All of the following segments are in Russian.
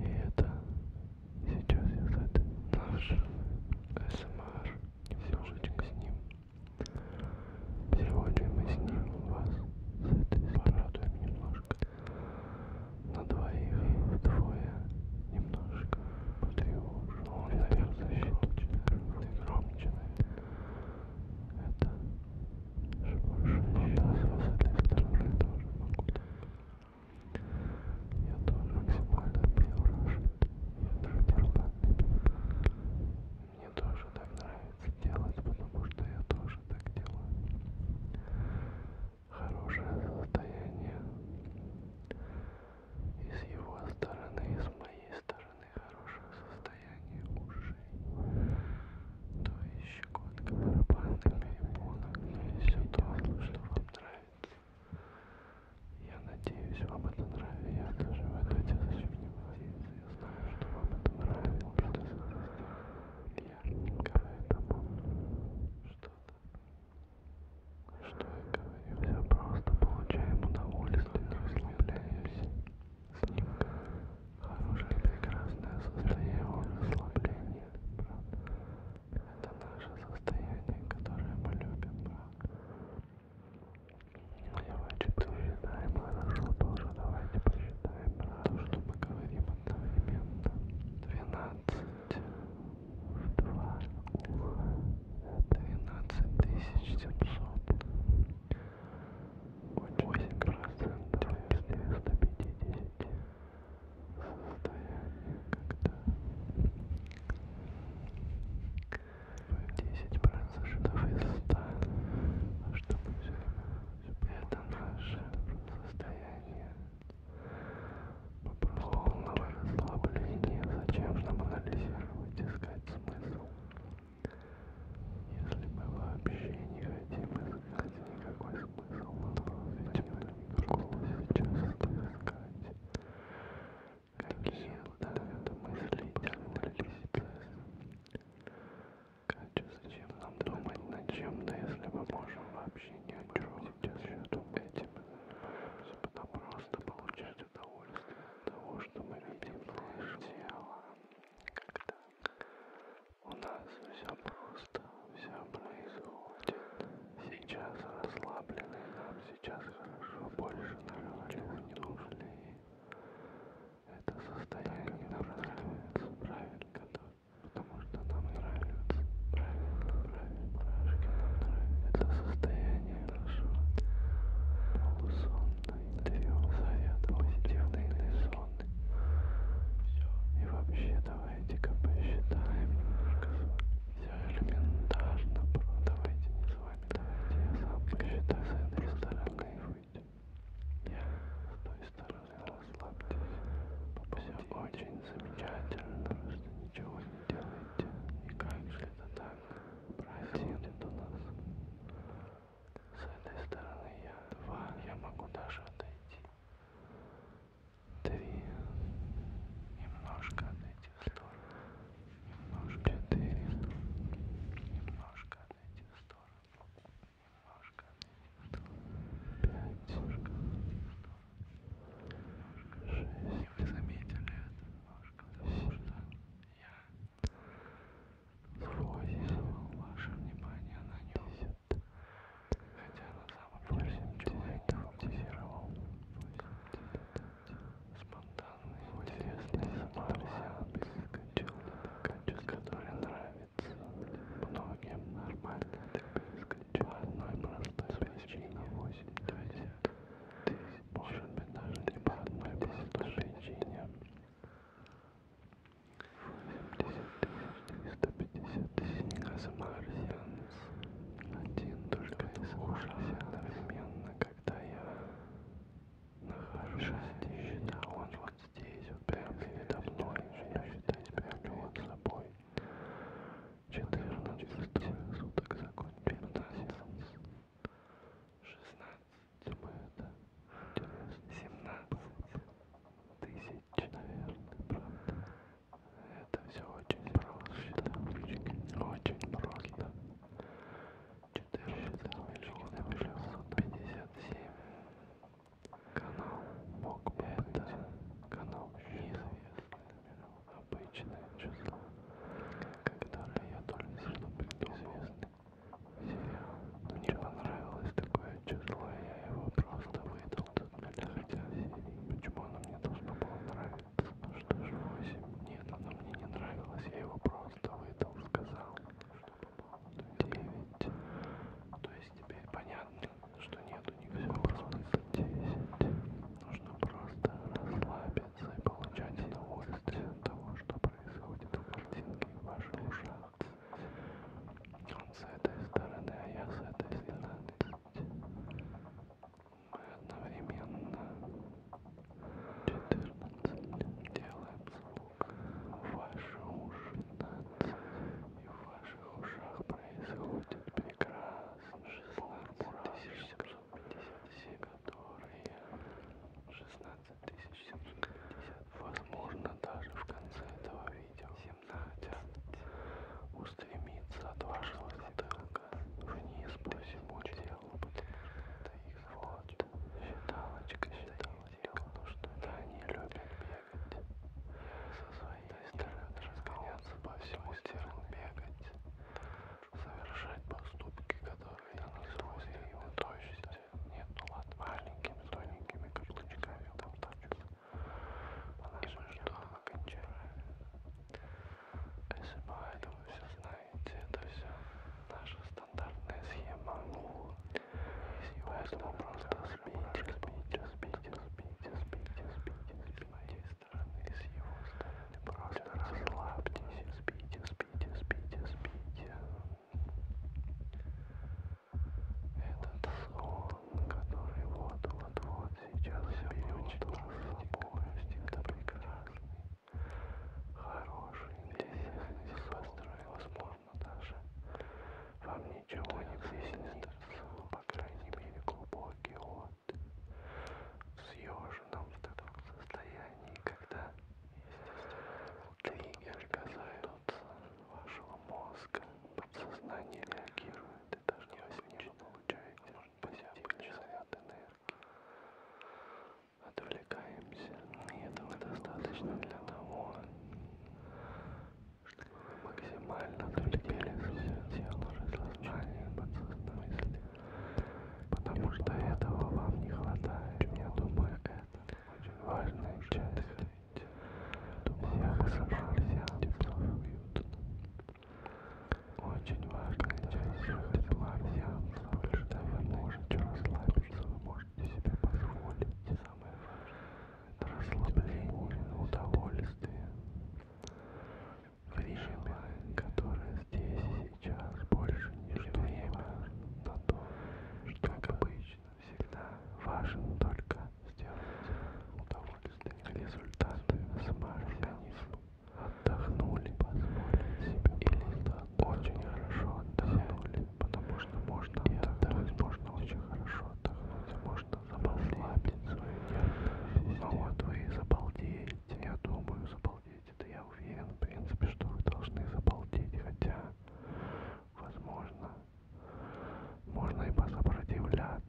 И это сейчас я задаю наш СМР немножечко с ним. Сегодня мы с ним вас с этой порадуем немножко. На двоих вдвое немножко потревожу. Он, наверное, защиту очень громче, наверное. Это живущее с этой стороны тоже могу Я тоже максимально переворошит. Я тоже переворошит. Мне тоже так нравится делать, потому что я тоже так делаю. Хорошее состояние и с его стороны, и с моей стороны стороны хорошее состояние ушей, то есть щекотка барабанных перепонок, но и все то, что вам нравится. Я надеюсь, вам это нравится. Я тоже в это зачем не возиться. Я знаю, что вам это нравится. Может, я говорю тому что-то. Что я говорю? Я просто получаем удовольствие, расслабляемся. Хорошее прекрасное состояние расслабления, брат. Это наше состояние, которое мы любим, брат. Я хочу посчитаем хорошо тоже. Давайте посчитаем, брат. То, что мы говорим одновременно. Двенадцать в два уха. Двенадцать тысяч семьсот. Очень процентов после 150 состояние, когда 10 процентов из 100, а чтобы все время это наше состояние полного расслабления. Зачем нам анализировать, искать смысл? Если мы вообще не хотим искать никакой смысл, мы просто идем сейчас искать. Какие ответы мыслительные Зачем нам думать над чем-то, если мы можем вообще ни о чем сейчас думать этим? Потому просто получать получать удовольствие от того, что мы любим наше тело. Когда у нас все просто, все происходит. Сейчас расслаблены, нам сейчас хорошо, больше нам ничего не нужно. Это состояние нам нравится, правильно, потому что нам нравится, правильно, правильно, правильно, нам нравится. Это состояние нашего полусона интервью, совет, позитивный сон. И вообще давайте-ка посчитаем. Все элементарно, про. Давайте не с вами, давайте я сам посчитаю с этой стороны. Я с той стороны расслабьтесь. Все очень замечательно, просто ничего не делайте. И как же это так происходит у нас? С этой стороны я два, я могу даже отойти. Три, немножко отойти в сторону, немножко четыре, немножко отойти в сторону, немножко отойти в сторону, пять, немножко отойти в сторону, немножко шесть. Вы заметили это? Немножко, потому что я Сквозь ваше внимание на нем. Хотя на самом деле ничего я не фантазировал. Спонтанный, интересный самообсервис, который нравится многим нормально. По одной простой причине. 80 тысяч. Может быть даже не по одной простой причине семьдесят триста пятьдесят марсианец один только не слушался одновременно когда я нахожусь здесь да он вот здесь вот прямо передо мной я считать прямо вот собой четырнадцать суток закончил шестнадцать мы это семнадцать тысяч наверное правда это все очень просто очень просто четырнадцать миллионов шестьсот пятьдесят семь канал мог бы это канал неизвестный обычное число когда-то я только что известный сериал. Мне понравилось такое число, я его просто выдал. Хотя почему оно мне должно было нравиться? Что ж, 8? Нет, оно мне не нравилось, я его просто выдал, сказал, что по 9. То есть теперь понятно, что нету никакого смысла 10. Нужно просто расслабиться и получать удовольствие от того, что происходит в картинке в ваших ушах. Он с этой стороны, а я с этой стороны. Мы одновременно 14 делаем звук в ваши уши. 15. И в ваших ушах происходит прекрасно. 16 757 которые 16750, возможно даже в конце этого видео 17 устремится от вашего затылка вниз по всему телу, это их вот, считалочка, считалочка, ну что они любят бегать, со своей стороны разгоняться по всему телу, бегать, совершать поступки, которые наносят ну, ну, его точно нету ну лад маленькими тоненькими каблучками там тачут. И мы ждем окончания. СМА, это вы все знаете, это все наша стандартная схема. Поэтому просто спите, спите, спите, спите, спите, спите, с моей стороны, с его стороны. Просто расслабьтесь, спите, спите, спите, спите. Этот сон, который вот-вот-вот сейчас берет вас с собой, типа, это прекрасный, хороший, интересный типа, сон, и, возможно, даже вам ничего не приснится, по крайней мере, глубокий от в съеженном в таком состоянии, когда, естественно, триггер касается вашего мозга, подсознание реагирует, и даже вы с ним получаете позитивный заряд энергии. Отвлекаемся, и этого достаточно для того, чтобы вы максимально отвлекели свое тело, сознание, подсознание, потому что этого вам не хватает, я думаю, важная часть. Всех собрался тепло и уютно. Очень важная часть жизни тепла всем, больше вы можете расслабиться, вы можете себе позволить. Самое важное расслабление, удовольствие. Время, которое здесь сейчас больше не время на то, что, как обычно, всегда важен только сделать удовольствие результаты самоорганизма. Отдохнули, позволили себе или очень хорошо отдохнули, потому что можно и отдохнуть, можно очень хорошо отдохнуть, а можно забалдеть свою нервную систему. Но вот вы забалдеете, я думаю, забалдеете это я уверен, в принципе, что вы должны забалдеть, хотя, возможно, можно и посопротивляться,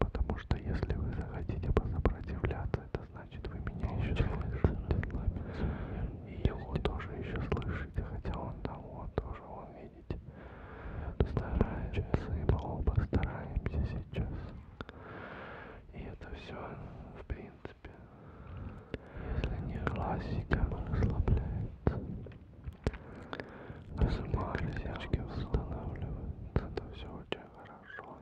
потому что если вы захотите посопротивляться, это значит вы меня еще слышите, и его тоже еще слышите, хотя он там вот тоже, он, видите, старается, и мы оба стараемся сейчас. И это все, в принципе, принципе. Если не классика, расслабляется. Разумные клеточки восстанавливаются. Это все очень хорошо.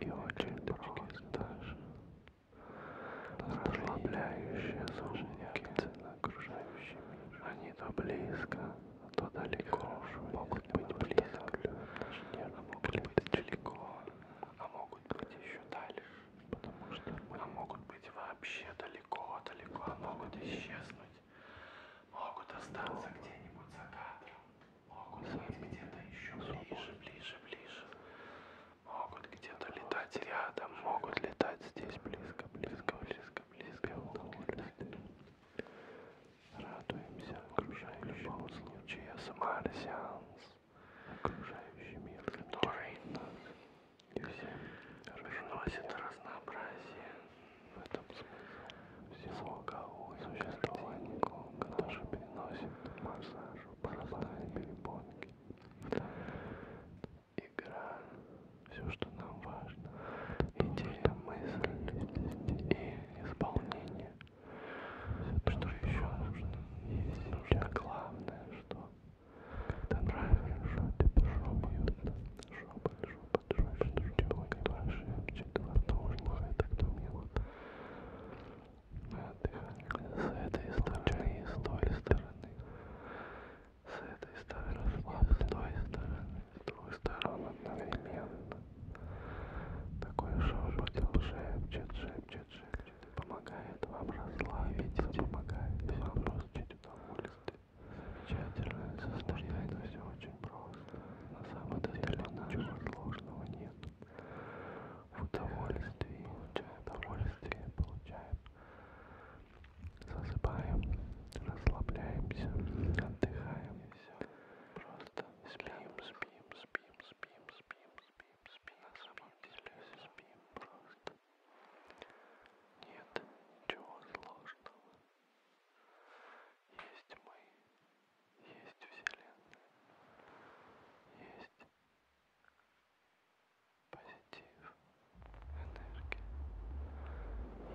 И, И очень просто. Даже. Расслабляющие звуки на окружающий мир. Они то близко, а то далеко. Могут быть близко, а могут быть далеко, а могут быть еще дальше потому что мы могут быть вообще далеко-далеко, а могут исчезнуть, могут остаться где-нибудь за кадром, могут быть где-то еще ближе, ближе, ближе, могут где-то летать рядом, могут летать здесь близко, близко, близко, близко, могут летать. Радуемся окружающему случаю. Самар сеанс окружающий мир, который нас приносит разнообразие. В этом смысл всего кого существования, который приносит массажу, паразитные перепонки. Игра, все, что нам важно, идея, мысль и исполнение. Все то, что еще нужно. Есть нужно главное, что когда нравится, тебе шумьютно. Шопот, шопот, шопот, шопот, шепчет во рту, слухай так мило. Мы отдыхали с этой стороны и с той стороны. С этой стороны и с той стороны. С двух сторон одновременно. Такой шепот, шепчет, шепчет, шепчет помогает вам расслабиться, помогает вам получить удовольствие. Замечательное состояние, это все очень просто. На самом деле ничего сложного нет. В удовольствии, получаем удовольствие, получаем. Засыпаем, расслабляемся, отдыхаем и все. Просто спим, спим, спим, спим, спим, спим, спим, на самом деле спим просто. Нет ничего сложного. Есть мы, есть Вселенная, есть позитив, энергия,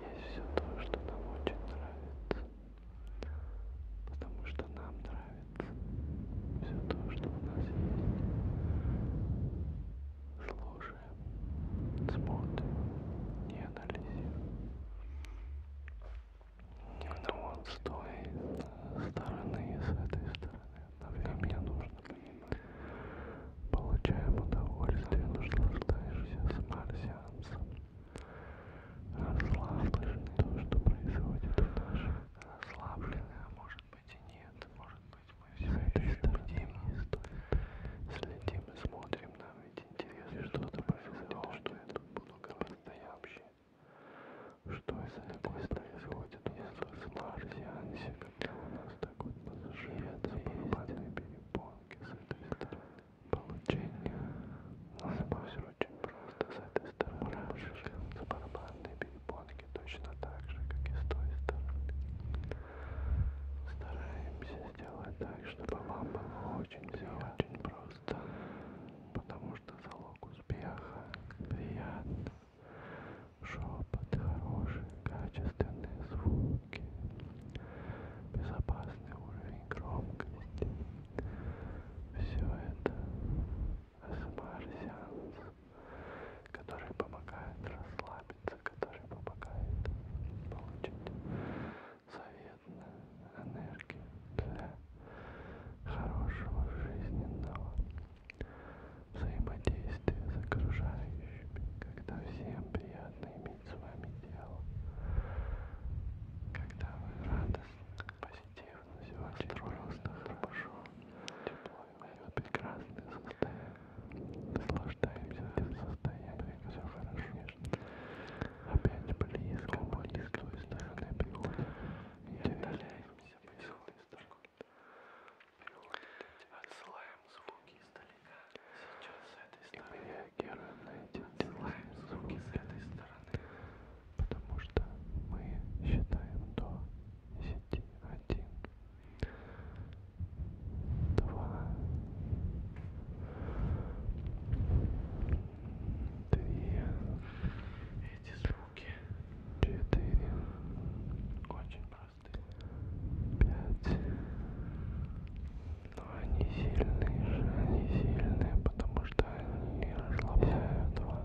есть все то, что нам очень нравится, потому что нам нравится все то, что у нас есть. Слушаем, смотрим и анализируем. Ну вот с той стороны и с этой стороны одновременно нужно понимать. Получаем удовольствие, наслаждаешься смарсианцем. Расслабленный то, что происходит в нашем. Расслабленный, а может быть быть и нет. Может быть мы все еще бдим, следим и смотрим. Нам ведь интересно, что-то произошло, что я тут буду говорить наявще. Что это такое происходит у нас в Марсиансе, когда у нас так вот поживятся барабанные перепонки с этой стороны. Получение нас все очень просто с этой стороны. Барабанные перепонки фотки точно так же, как и с той стороны. Стараемся сделать так, чтобы вам было очень все очень просто, потому что залог успеха приятно. Шепот, хорошие, качественные звуки, безопасный уровень громкости. Все это АСМР-сеанс, который помогает расслабиться, который помогает получить заветную энергию для хорошего жизненного взаимодействия с окружающими, когда всем приятно иметь с вами дело, когда вы радостно, позитивно, все настроены, хорошо, тепло мое прекрасное состояние. Наслаждаемся этим состоянием, все хорошо. Опять близко, близко, с той стороны прихода. И отдаляемся, приходит такой. Отсылаем звуки издалека. Сейчас с этой стороны. И мы реагируем на эти отсылаем звуки с этой стороны. Потому что мы считаем до десяти, а один, два, три, эти звуки, четыре, очень простые, пять, но они сильные, они сильные, потому что они расслабляют вас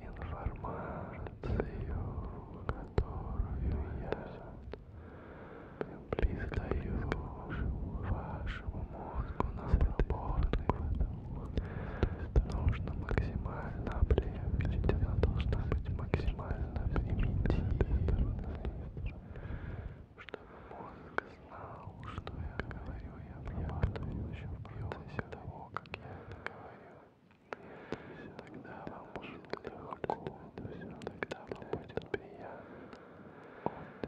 информацию, которую я передаю вашему мозгу на свободу. Нужно максимально облегчить, она должна быть максимально примитивной, чтобы мозг что я говорю, я обрабатываю еще в процессе того, как я это говорю. Тогда вам будет легко, тогда вам будет приятно.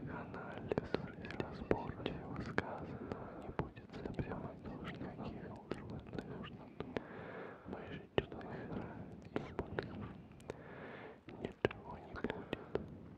Анализ и разбор всего сказанного не будет запрямать никаких трудных, выжить чудных и больных. Ничего не будет.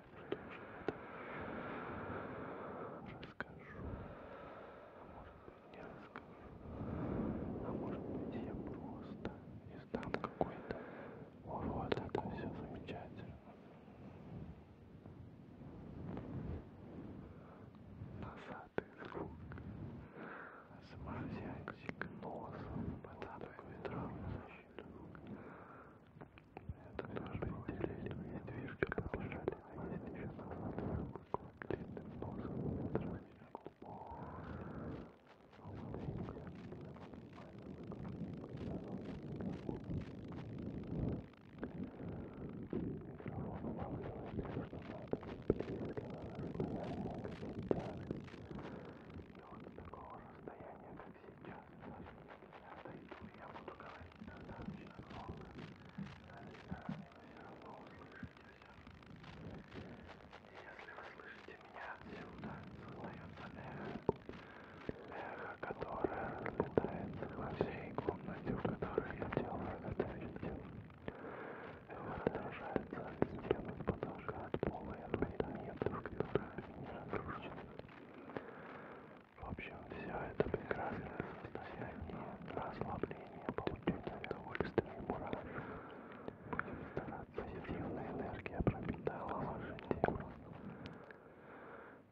расскажу, а может быть не расскажу, а может быть я просто издам какой-то урод, это все замечательно. Носатый звук, сморзянчик носом, под такой травмой защиту. Это наш вытеленный недвижка побежали, а есть еще назад длинным носом метрами глубокого. Микрофон улавливает все, что надо, близко расстояние, как сейчас. И вот с такого расстояния, как сейчас, я буду говорить достаточно много. Значит, заранее вы все равно услышитесь. Если вы слышите меня отсюда, создается эхо, эхо, которое разлетается во всей комнате, в которой я делаю это видео. Эхо отражается от стены, от потолка, от пола и от предметов, которые меня окружают. В общем, все это прекрасное состояние расслабления, получение удовольствия и мурашек. Будем стараться, позитивная энергия пропитала ваше тело.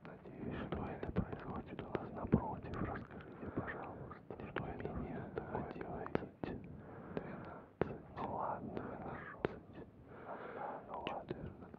Надеюсь, что это происходит у вас напротив. Расскажите, пожалуйста, что это меня такое делаете. 12, ну ладно, 12, хорошо. 12, ну ладно, 14,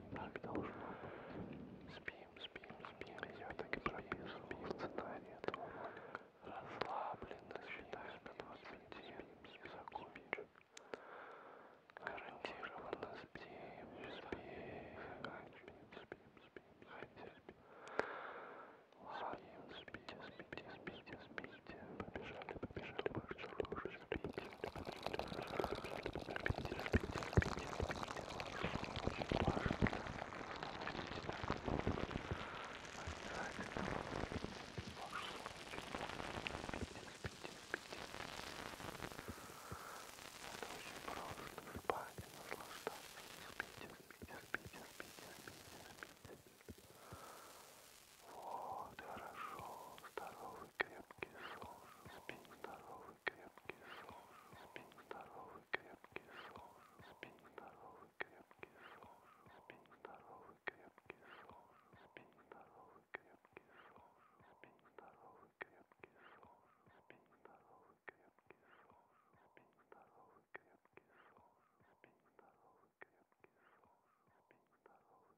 принципе, так должно быть. Спим, спим, спим. Я так и прописывал спим, сценарий этого ролика. Расслабленно считаю до 25 и закончу. Гарантированно спим, спим, спим, спим, спим, хотя спим. Ладно, спите, спите, спите, спите. Побежали, побежали, побежали, уже спите. Вот, хорошо, здорово здоровый, крепкий сон, спи здоровый, крепкий сон, спи здоровый, крепкий сон, спи здоровый, крепкий сон, спи здоровый, крепкий сон, спи здоровый, крепкий сон, спи здоровый, крепкий сон, спи здоровый, крепкий сон, спи здоровый, крепкий сон, спи здоровый, крепкий сон, спи здоровый.